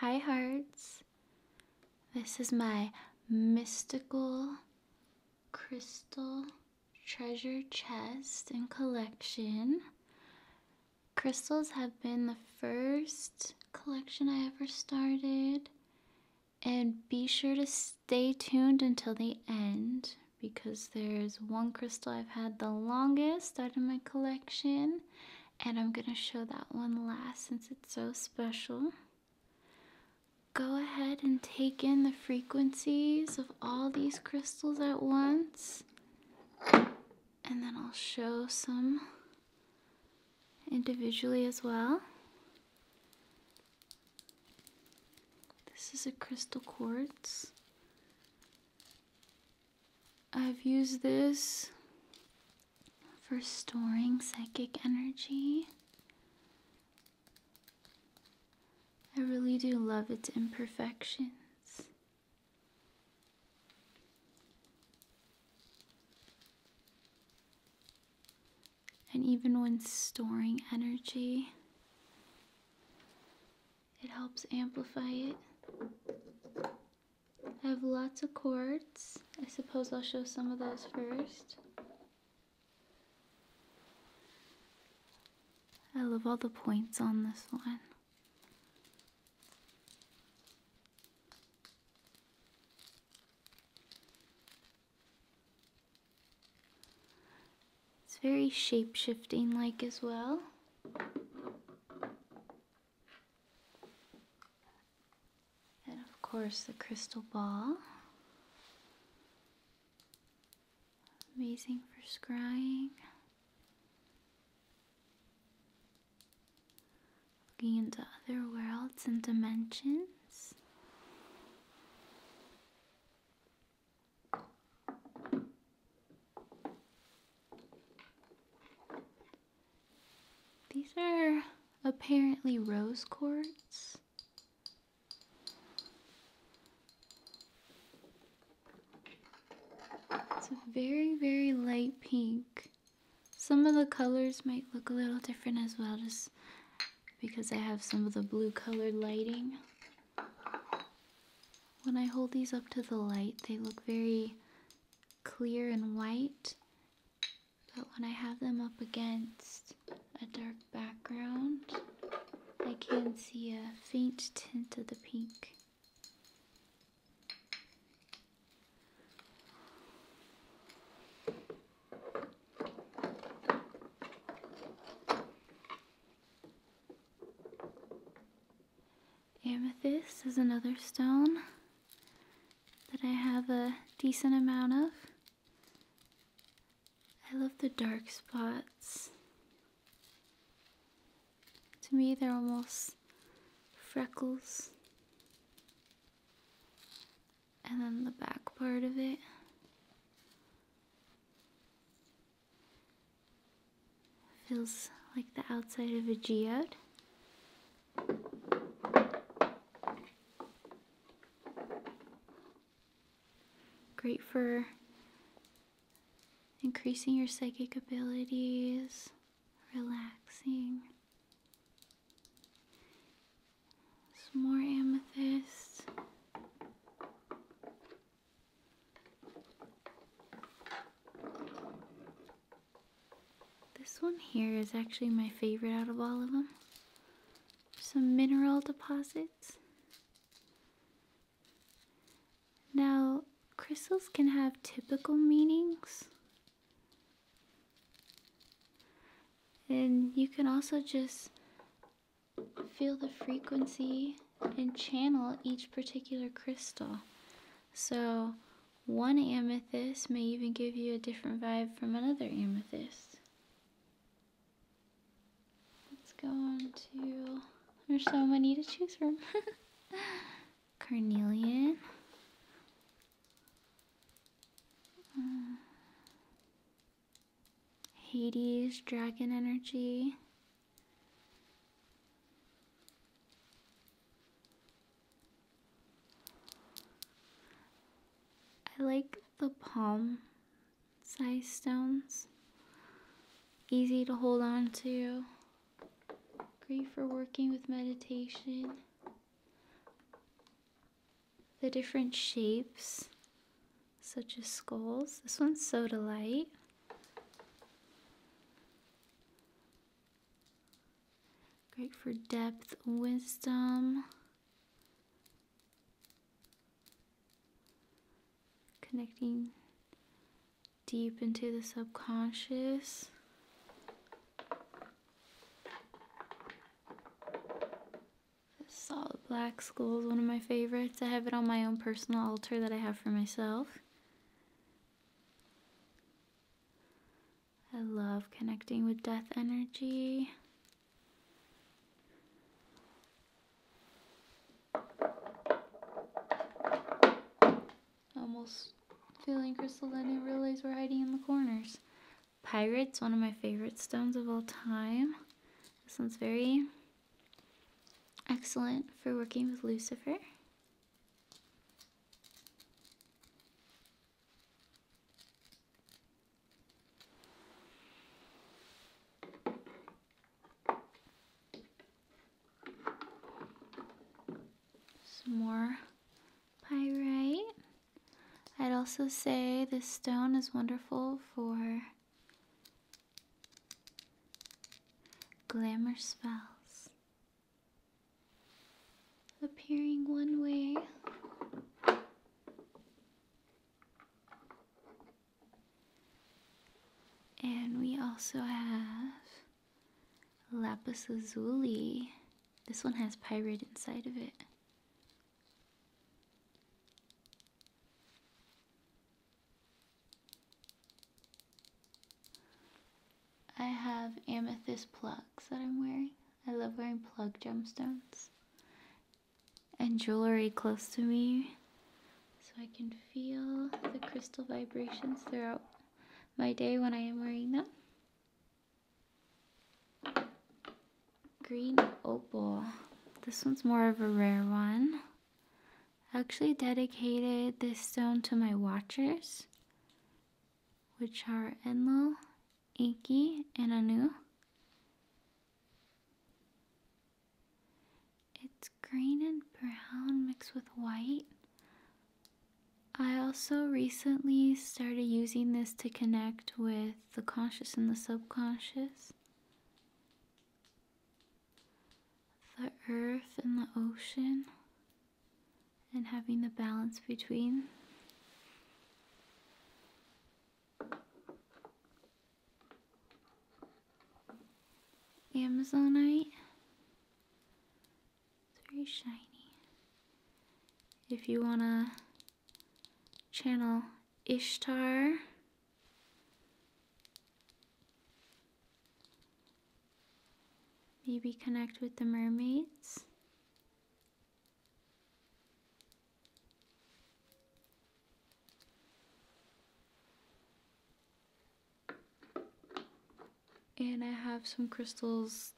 Hi, hearts. This is my mystical crystal treasure chest and collection. Crystals have been the first collection I ever started. And be sure to stay tuned until the end because there's one crystal I've had the longest out of my collection and I'm going to show that one last since it's so special. Go ahead and take in the frequencies of all these crystals at once, and then I'll show some individually as well. This is a crystal quartz. I've used this for storing psychic energy. I really do love its imperfections. And even when storing energy, it helps amplify it. I have lots of cords. I suppose I'll show some of those first. I love all the points on this one. It's very shape-shifting like as well. And of course, the crystal ball. Amazing for scrying. Looking into other worlds and dimensions. These are apparently rose quartz. It's a very, very light pink. Some of the colors might look a little different as well, just because I have some of the blue colored lighting. When I hold these up to the light, they look very clear and white, but when I have them up against a dark background, I can see a faint tint of the pink. Amethyst is another stone that I have a decent amount of. I love the dark spots. To me, they're almost freckles. And then the back part of it. Feels like the outside of a geode. Great for increasing your psychic abilities, relaxing. Some more amethyst. This one here is actually my favorite out of all of them. Some mineral deposits. Now, crystals can have typical meanings. And you can also just feel the frequency and channel each particular crystal. So, one amethyst may even give you a different vibe from another amethyst. Let's go on to. There's so many to choose from. Carnelian. Uh, Hades, dragon energy, I like the palm size stones. Easy to hold on to. Great for working with meditation. The different shapes, such as skulls. This one's soda light. Great for depth, wisdom, connecting deep into the subconscious. Solid Black Skull is one of my favorites. I have it on my own personal altar that I have for myself. I love connecting with death energy. Almost feeling crystal, I realize we're hiding in the corners. Pirates, one of my favorite stones of all time. This one's very Excellent for working with Lucifer. Some more pyrite. I'd also say this stone is wonderful for Glamour spells. Appearing one way. And we also have Lapis Lazuli. This one has pirate inside of it. I have amethyst plugs that I'm wearing. I love wearing plug gemstones. And jewelry close to me so I can feel the crystal vibrations throughout my day when I am wearing them. Green opal. This one's more of a rare one actually dedicated this stone to my watchers, which are Enlil, Iki, and Anu. It's green and brown mixed with white. I also recently started using this to connect with the conscious and the subconscious the earth and the ocean and having the balance between. Amazonite. It's very shiny. If you want to channel Ishtar Maybe connect with the mermaids. And I have some crystals,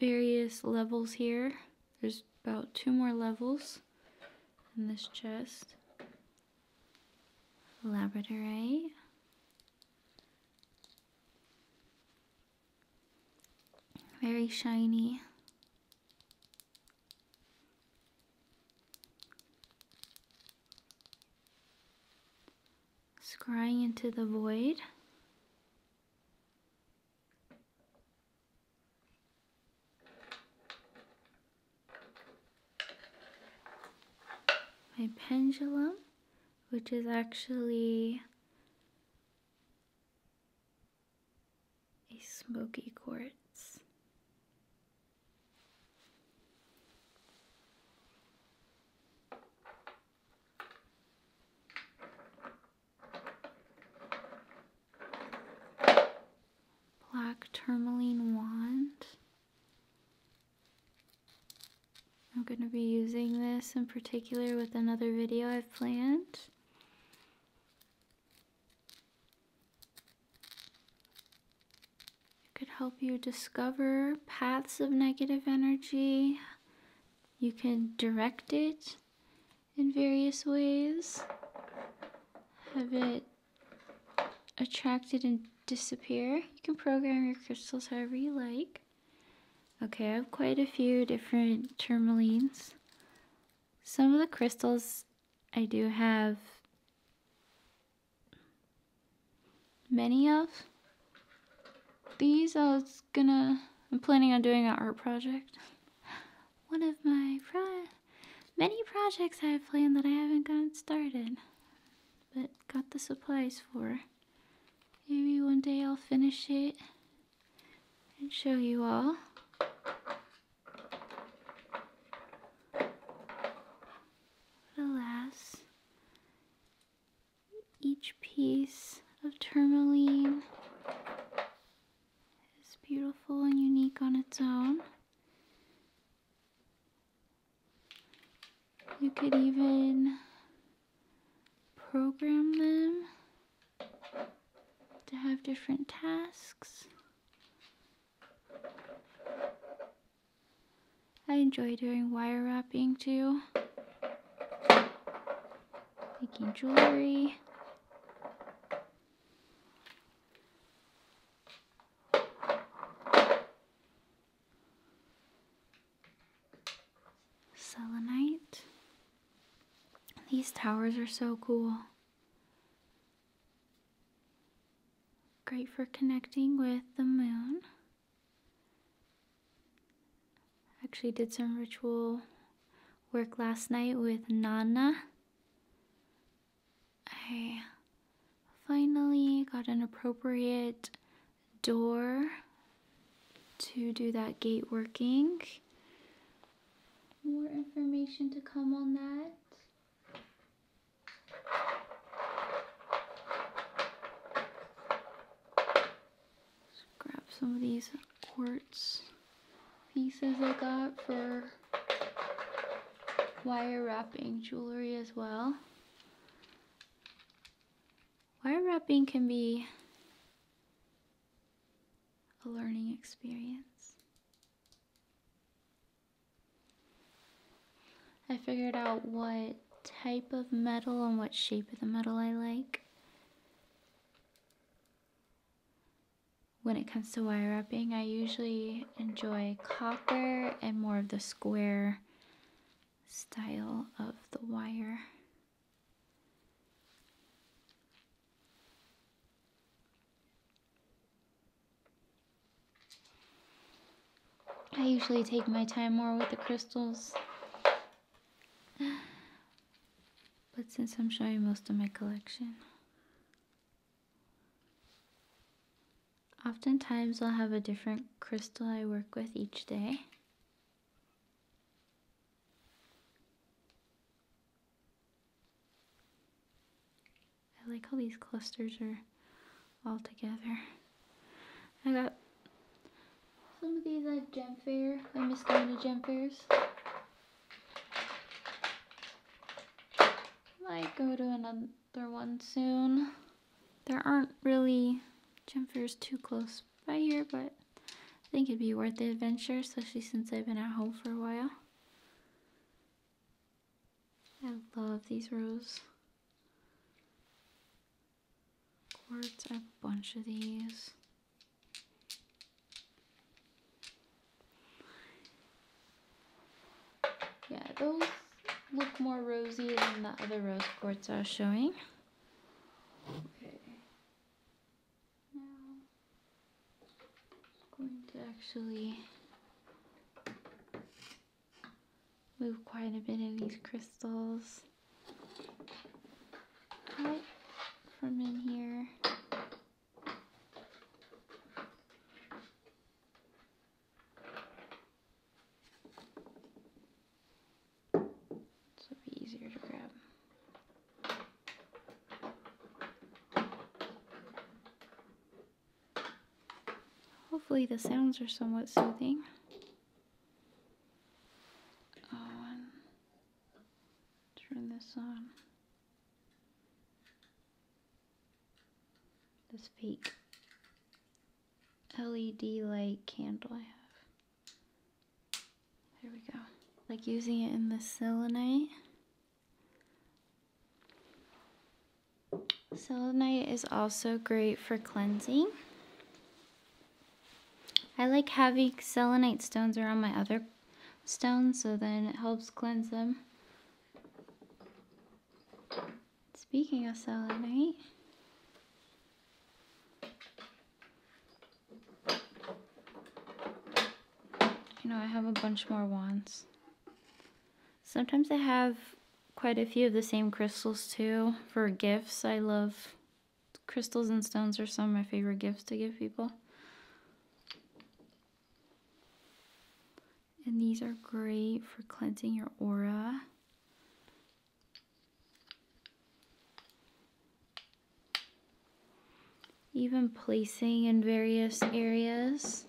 various levels here. There's about two more levels in this chest labradorite, very shiny. Scrying into the void my pendulum, which is actually a smoky quartz black tourmaline wand. I'm going to be using this in particular with another video I've planned. It could help you discover paths of negative energy. You can direct it in various ways. Have it attracted and disappear. You can program your crystals however you like. Okay, I have quite a few different tourmalines. Some of the crystals I do have many of. These I was gonna, I'm planning on doing an art project. One of my many projects I have planned that I haven't gotten started, but got the supplies for. Maybe one day I'll finish it and show you all. alas, each piece of tourmaline is beautiful and unique on its own. You could even program them to have different tasks. I enjoy doing wire wrapping too. Making jewelry. Selenite. These towers are so cool. Great for connecting with the moon. Actually did some ritual work last night with Nana. I finally got an appropriate door to do that gate working. More information to come on that. grab some of these quartz pieces I got for wire wrapping jewelry as well. Wire wrapping can be a learning experience. I figured out what type of metal and what shape of the metal I like. When it comes to wire wrapping, I usually enjoy copper and more of the square style of the wire. I usually take my time more with the crystals. But since I'm showing most of my collection, Oftentimes I'll have a different crystal I work with each day. I like how these clusters are all together. I got some of these at Gem Fair. I miss going to Gem Fairs might go to another one soon. There aren't really gym fairs too close by here, but I think it'd be worth the adventure, especially since I've been at home for a while. I love these rows. Quartz, a bunch of these. Yeah, those look more rosy than the other rose quartz I was showing. Okay. Now, I'm going to actually move quite a bit of these crystals from in here. So it'll easier to grab. Hopefully the sounds are somewhat soothing. Oh, turn this on. This fake LED light candle I have. There we go. Like using it in the selenite. Selenite is also great for cleansing. I like having selenite stones around my other stones, so then it helps cleanse them. Speaking of selenite, you know, I have a bunch more wands. Sometimes I have quite a few of the same crystals too for gifts. I love crystals and stones are some of my favorite gifts to give people. And these are great for cleansing your aura. Even placing in various areas.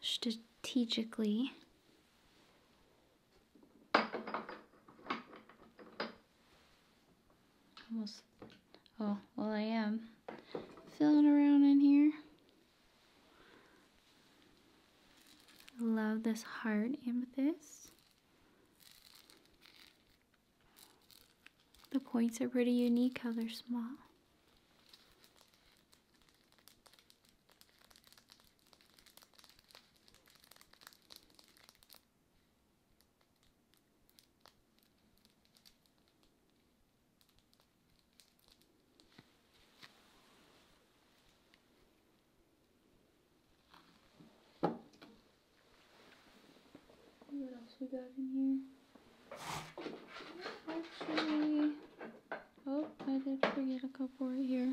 Strategically. Almost, oh, well I am feeling around in here. Love this heart amethyst. The points are pretty unique how they're small what else we got in here. Actually, oh, I did forget a couple right here.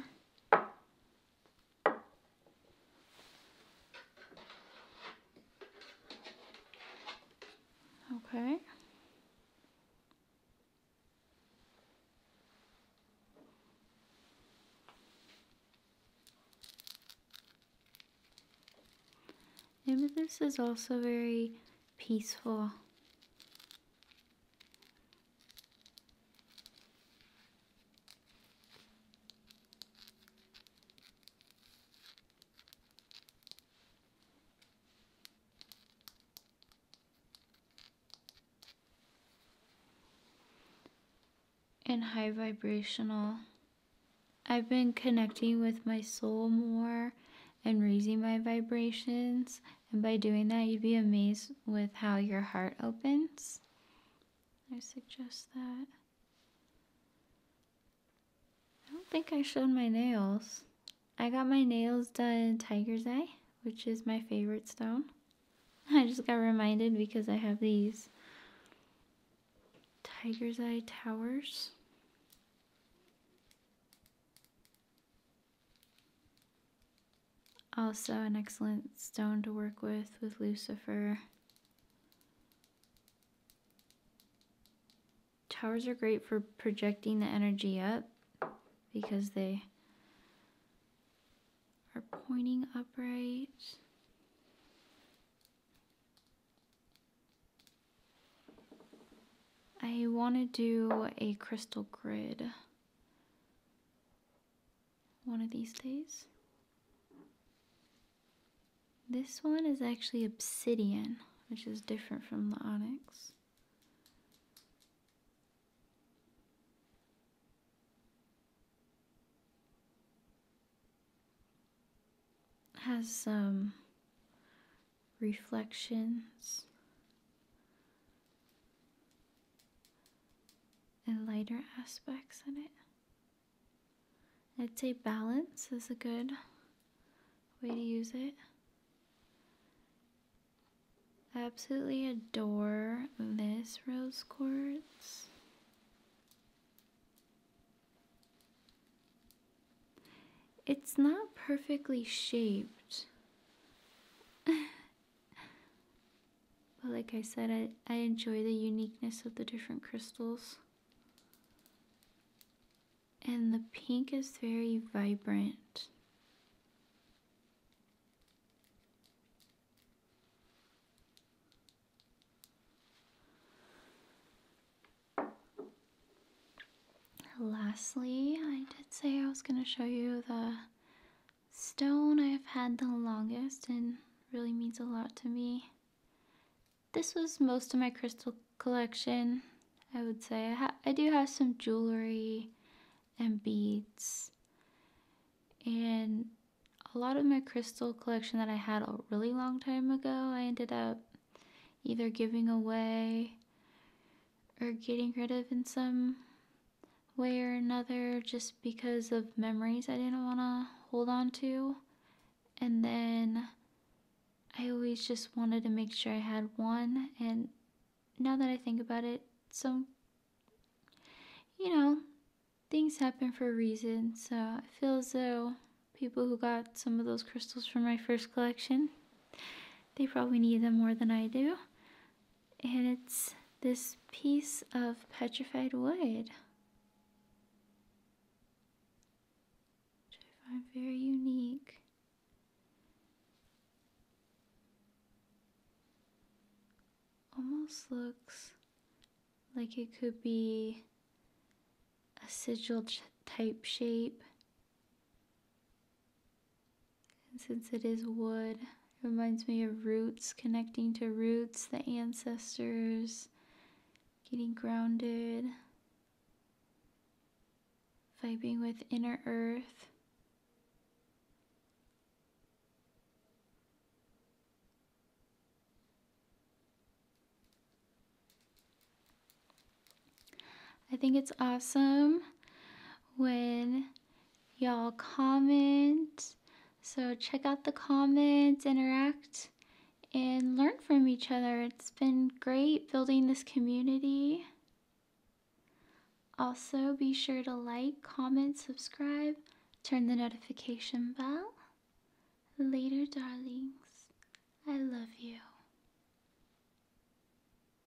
Okay. Maybe this is also very peaceful and high vibrational. I've been connecting with my soul more and raising my vibrations and by doing that, you'd be amazed with how your heart opens. I suggest that. I don't think I showed my nails. I got my nails done in Tiger's Eye, which is my favorite stone. I just got reminded because I have these Tiger's Eye Towers. Also an excellent stone to work with with Lucifer. Towers are great for projecting the energy up because they are pointing upright. I want to do a crystal grid one of these days. This one is actually obsidian, which is different from the onyx. has some reflections and lighter aspects in it. I'd say balance is a good way to use it. I absolutely adore this rose quartz. It's not perfectly shaped. but like I said, I, I enjoy the uniqueness of the different crystals. And the pink is very vibrant. Lastly, I did say I was going to show you the stone I've had the longest and really means a lot to me. This was most of my crystal collection, I would say. I, I do have some jewelry and beads. And a lot of my crystal collection that I had a really long time ago, I ended up either giving away or getting rid of in some way or another just because of memories I didn't want to hold on to. And then I always just wanted to make sure I had one. And now that I think about it, some, you know, things happen for a reason. So I feel as though people who got some of those crystals from my first collection, they probably need them more than I do and it's this piece of petrified wood. Which I find very unique. Almost looks like it could be a sigil type shape. And since it is wood, it reminds me of roots, connecting to roots, the ancestors, getting grounded, vibing with inner earth. I think it's awesome when y'all comment. So check out the comments, interact, and learn from each other. It's been great building this community. Also, be sure to like, comment, subscribe, turn the notification bell. Later, darlings. I love you.